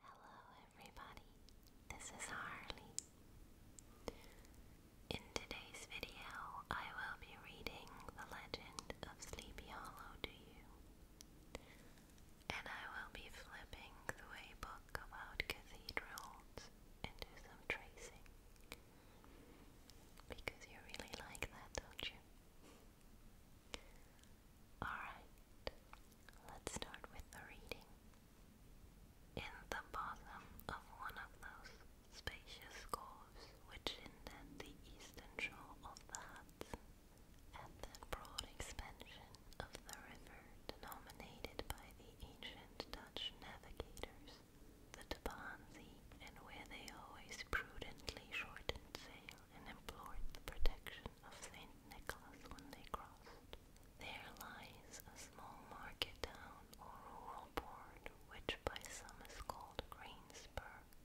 Hello, everybody, this is Harley. In today's video, I will be reading The Legend of Sleepy Hollow to you, and I will be flipping through a book about cathedrals and do some tracing because you really like that, don't you? Alright, let's start with the reading. In the bottom of one of those spacious coves which indent the eastern shore of the Hudson, at that broad expansion of the river denominated by the ancient Dutch navigators, the Tabansee, and where they always prudently shortened sail and implored the protection of St. Nicholas when they crossed. There lies a small market town or rural port, which by some is called Greensburg,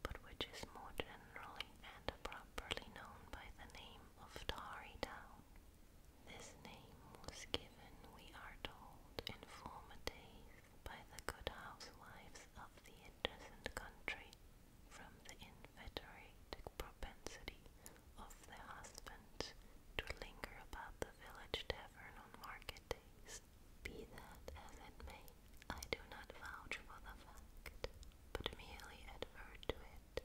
but which is more generally and properly known by the name of Tarry Town. This name was given, we are told, in former days by the good housewives of the adjacent country from the inveterate propensity of the husband to linger about the village tavern on market days. Be that as it may, I do not vouch for the fact, but merely advert to it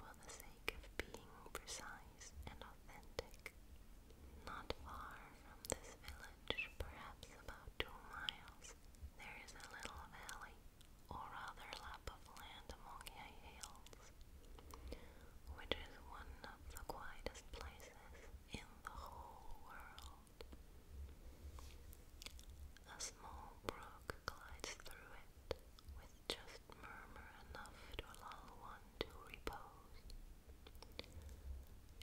for the sake of being precise and authentic. Not far from this village, perhaps about two miles, there is a little valley or rather lap of land among high hills, which is one of the quietest places in the whole world. A small brook glides through it with just murmur enough to lull one to repose,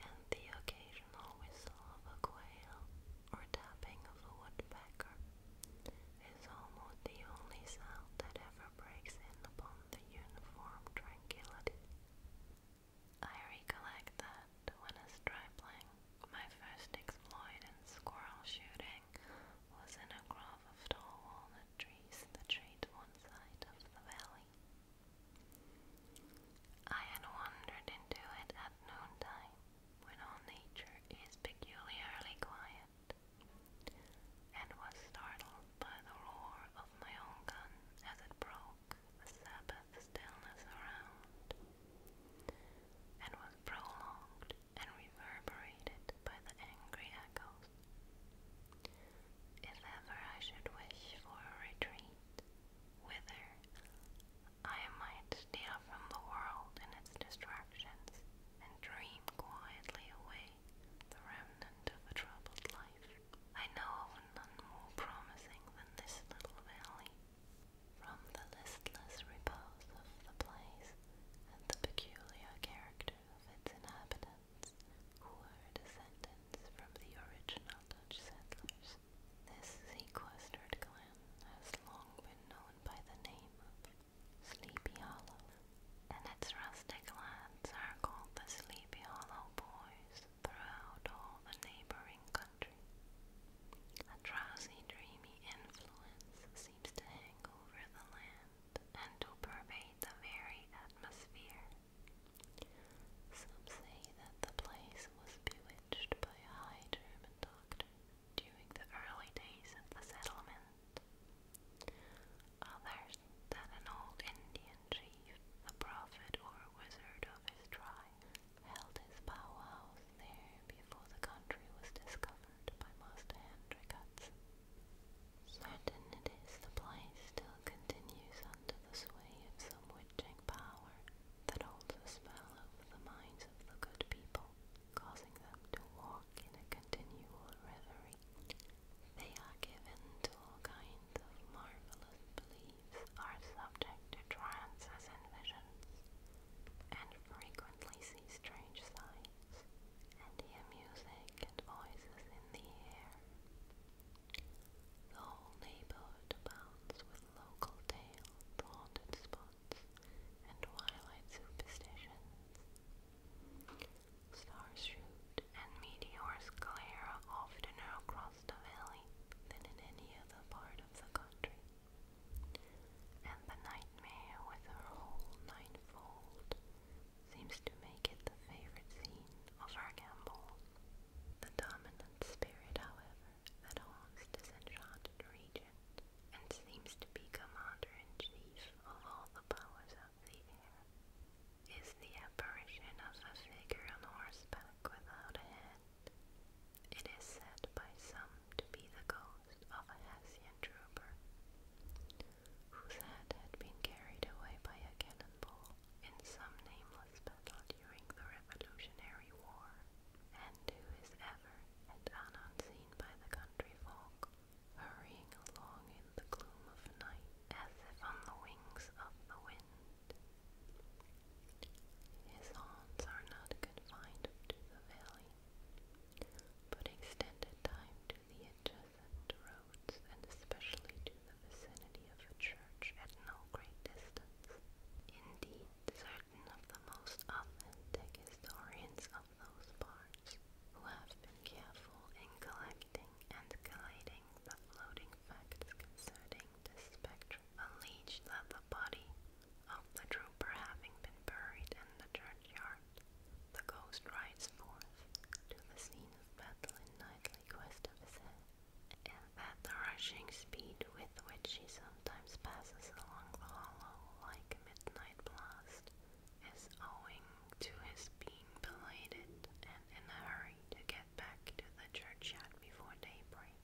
and the occasional whistle of a quail or tapping of a woodpecker is almost the only sound that ever breaks in upon the uniform tranquility. I recollect that when a stripling, my first exploit in squirrel shooting, was in a grove of tall walnut trees that shade one side of the valley. I had wandered into it at noontime, when all nature is peculiarly quiet, and was startled by the roar of my own gun as it broke the Sabbath stillness around, and was prolonged and reverberated by the angry echoes. If ever I should wish for retreat, whither I might steal from the world and its distractions and dream quietly away the remnant of a troubled life. I know of none more promising than this little valley. From the listless repose of the place and the peculiar character of its inhabitants, who are descendants from the original Dutch settlers, this sequestered glen has long been known by the name of Sleepy Hollow, and its rustic lands are called the Sleepy Hollow Boys throughout all the neighboring country. A drowsy, dreamy influence seems to hang over the land and to pervade the very atmosphere. Some say that the place was bewitched by a high German doctor during the early days of the settlement. Others that an old Indian chief, a prophet or a wizard of his tribe, held his powwows there before the country was discovered by Master Henry Hudson. Certain it is the place still continues under the sway of some witch magic power that holds a spell over the minds of the good people, causing them to walk in a continual reverie. They are given to all kinds of marvelous beliefs, are subject to trances and visions, and frequently see strange sights, and hear music and voices in the air. The whole neighborhood abounds with local tales, haunted spots, and twilight superstitions. Starshoot and meteors glare oftener across the valley than in any other part of the country. And the nightmare with her whole ninefold seems to make it the favorite scene of her gamble. The dominant spirit, however, that holds this enchanted regent and seems to be commander-in-chief of all the powers of the air, is the apparition of a figure on horseback without a head. It is said by some to be the ghost of a Hessian trooper, whose head had been carried away by a cannonball in some nameless battle during the Revolutionary War, and who is ever and unseen by the country folk, hurrying along in the gloom of night as if on the wings of the wind. His haunts are not confined to the valley, but extended time to the adjacent roads and especially to the vicinity vicinity of a church at no great distance. Indeed, certain of the most authentic historians of those parts, who have been careful in collecting and collating the floating facts concerning the spectrum, allege that the body of the trooper having been buried in the churchyard, the ghost rides forth to the scene of battle in nightly quest of his head that the rushing speed with which she sometimes passes along the hollow like midnight blast is owing to his being belated and in a hurry to get back to the churchyard before daybreak.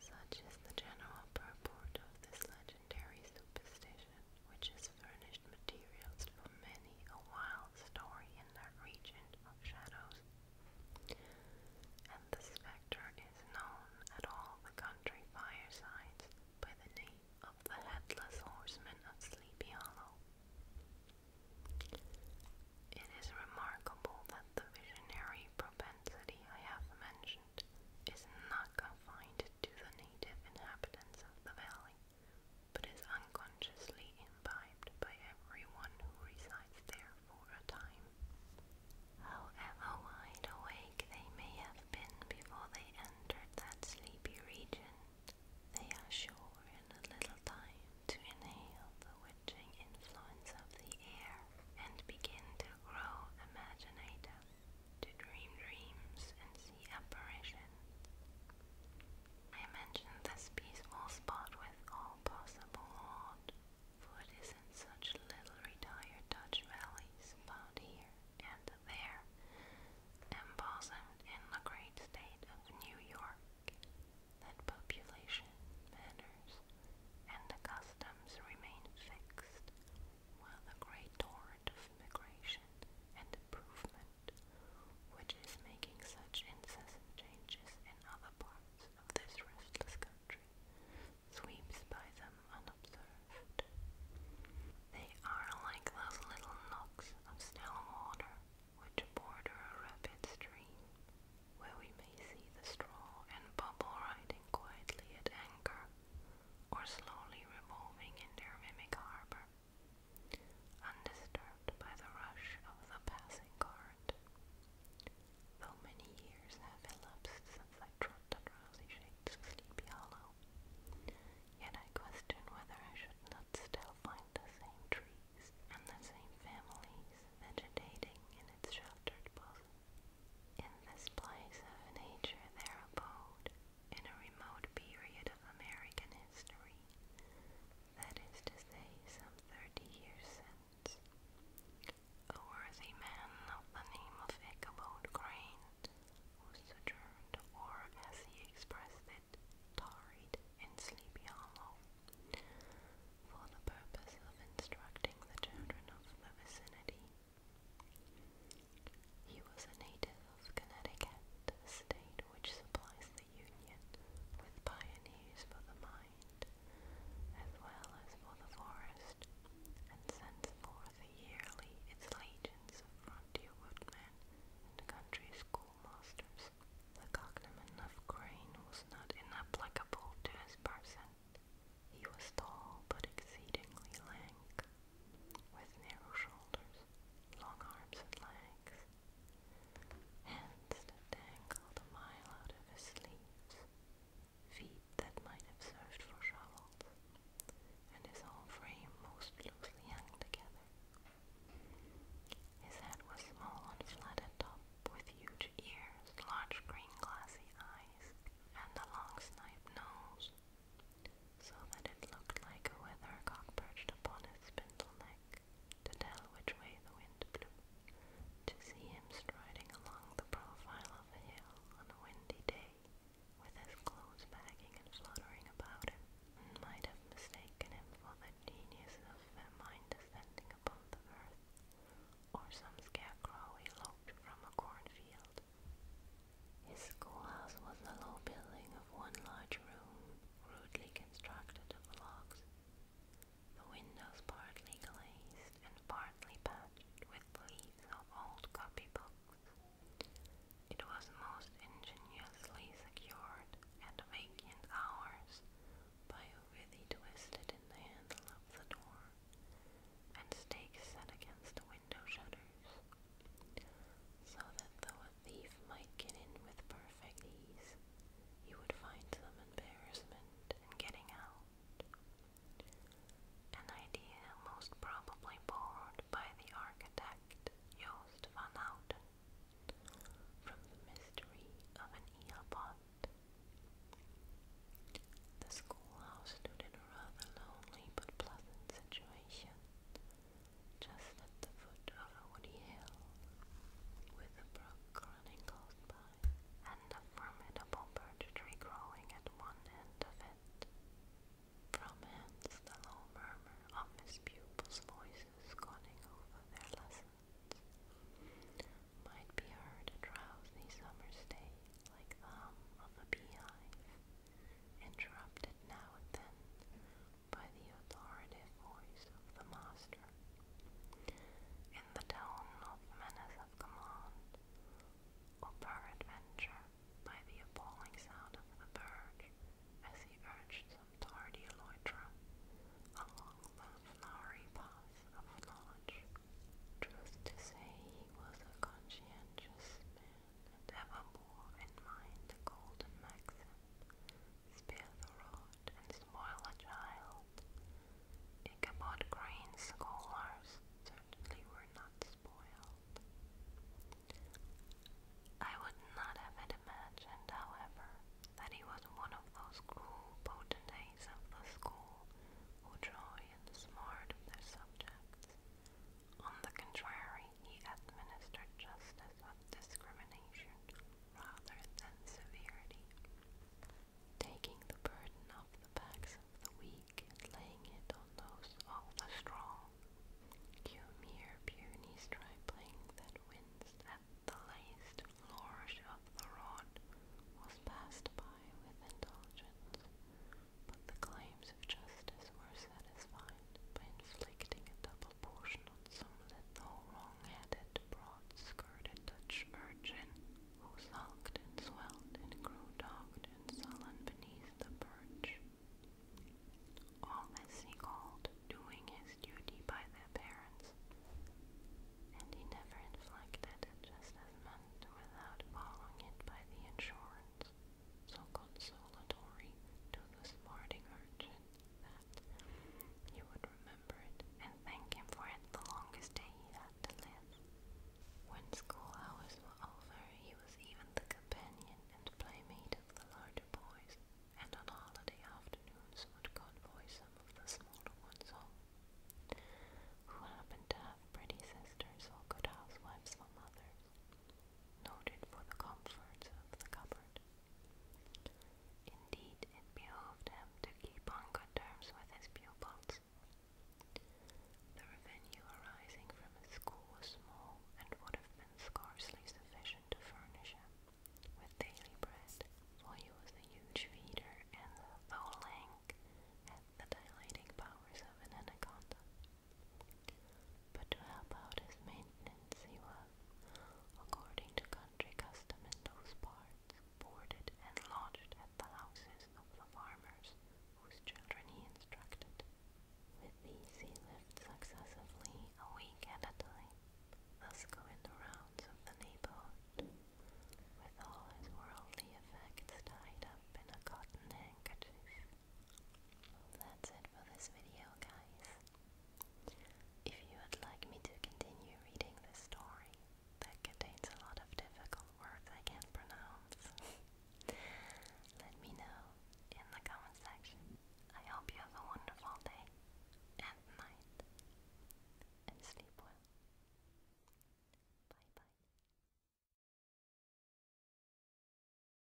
Such is the general purport of this legendary superstition, which has furnished materials for many a wild story in that region of shadows and the spectre is known at all the country firesides by the name of the Headless Horseman of Sleepy Hollow. It is remarkable that the visionary propensity I have mentioned is not confined to the native inhabitants of the valley, but is uncommon consciously imbibed by everyone who resides there for a time. However wide awake they may have been before they entered that sleepy region, they are sure in a little time to inhale the witching influence of the air and begin to grow imaginative, to dream dreams and see apparitions. I mentioned this peaceful spot with all possible art, for it isn't such little retired Dutch valleys about here and there, embosomed in the great state of New York, that population, manners, and the customs remain fixed, while the great torrent of migration and improvement, which is making such incessant changes in other parts of this restless country sweeps by them unobserved. They are like those little knocks of still water which border a rapid stream, where we may see the straw and bubble riding quietly at anchor, or slowly revolving in their mimic harbour, undisturbed out by the rush of the passing cart. Though many years have elapsed since I trod on rosy shades Sleepy Hollow, yet I question whether I should not still find the same trees and the same families vegetating in its sheltered bosom. In this place of nature their abode, in a remote period of American history, that is to say, some thirty years since, a worthy man of the name of Ichabod Crane, who sojourned, or as he expressed it, tarried in Sleepy Hollow, for the purpose of instructing the children of the vicinity. He was a native of Connecticut, state which supplies the union with pioneers for the mind, as well as for the forest, and sends forth yearly its legions of frontier woodmen and country schoolmasters. The cognomen of Crane was not inapplicable to his person. He was tall but exceedingly lank, with narrow shoulders, long arms and legs, hands that dangled a mile out of his sleeves, feet that might have served for shovels, and his whole frame most loosely hung together. His head was small and flat at top, with huge ears, large green glassy eyes, and a long snipe nose, so that it looked like a weathercock perched upon his spindle neck to tell which way the wind blew. To see him striding along the profile of a hill on a windy day, with his clothes bagging and fluttering about him, one might have mistaken him for the genius of Famine descending upon the earth, or some scarecrow eloped from a cornfield. His schoolhouse was a low building of one large room, rudely constructed of logs, the windows partly glazed and partly patched with leaves of old copybooks. It was most ingeniously secured at vacant hours by a withy twisted in the handle of the door, and stakes set against the window shutters, so that the a thief might get in with perfect ease, he would find some embarrassment in getting out. An idea most probably borrowed by the architect Joost van from the mystery of an eelpot. The schoolhouse stood in a rather lonely but pleasant situation just at the foot of a woody hill, with a brook running close by, and a formidable birch tree growing at one end of it. From hence the low murmur of his pupils' voices going over their lessons might be heard a drowsy summer's day, like the hum of a beehive, interrupted now and then by the authoritative voice of the master. In the tone of menace of command, or peradventure by the appalling sound of the bird as he urged some tardy loiterer along the flowery path of knowledge. Truth to say, he was a conscientious man and ever bore in mind the golden maxim Spare the rod and spoil a child. Ichabod Crane's scholars certainly were not spoiled. I would not have imagined, however, that he was one of those cool potentates of the school who joy in the smart of their subjects. On the contrary, he administered justice with discrimination rather than severity, taking the burden off the backs of the weak and laying it on those of the strong. Cue mere puny stripling that wins at the laced flourish of the rod was passed by with indulgence, but the claims of justice were satisfied by inflicting a double proportion on some little wrong-headed, broad-skirted Dutch urchin who sulked and swelled and grew dogged and sullen beneath the perch. All this he called doing his duty by their parents, and he never inflected it just as meant without following it by the insurance so consolatory to the smarting urchin that you would remember it and thank him for it the longest day he had to live. When school hours were over, he was even the companion and playmate of the larger boys, and on holiday afternoons would convoy some of the smaller ones home. Who happened to have pretty sisters or good housewives for mothers noted for the comforts of the cupboard. Indeed, it behoved him to keep on good terms with his pupils. The revenue arising from his school was small and would have been scarcely sufficient to furnish him with daily bread, for he was a huge feeder and the tholang had the dilating powers of an anaconda but to help out his maintenance he was, according to country custom in those parts, boarded and lodged at the houses of the farmers whose children he instructed. With these he lived successively a week at a time, thus going the rounds of the neighborhood, with all his worldly effects tied up in a cotton handkerchief. That's it for this video, guys. If you would like me to continue reading this story that contains a lot of difficult words I can't pronounce, let me know in the comment section. I hope you have a wonderful day and night and sleep well. Bye bye.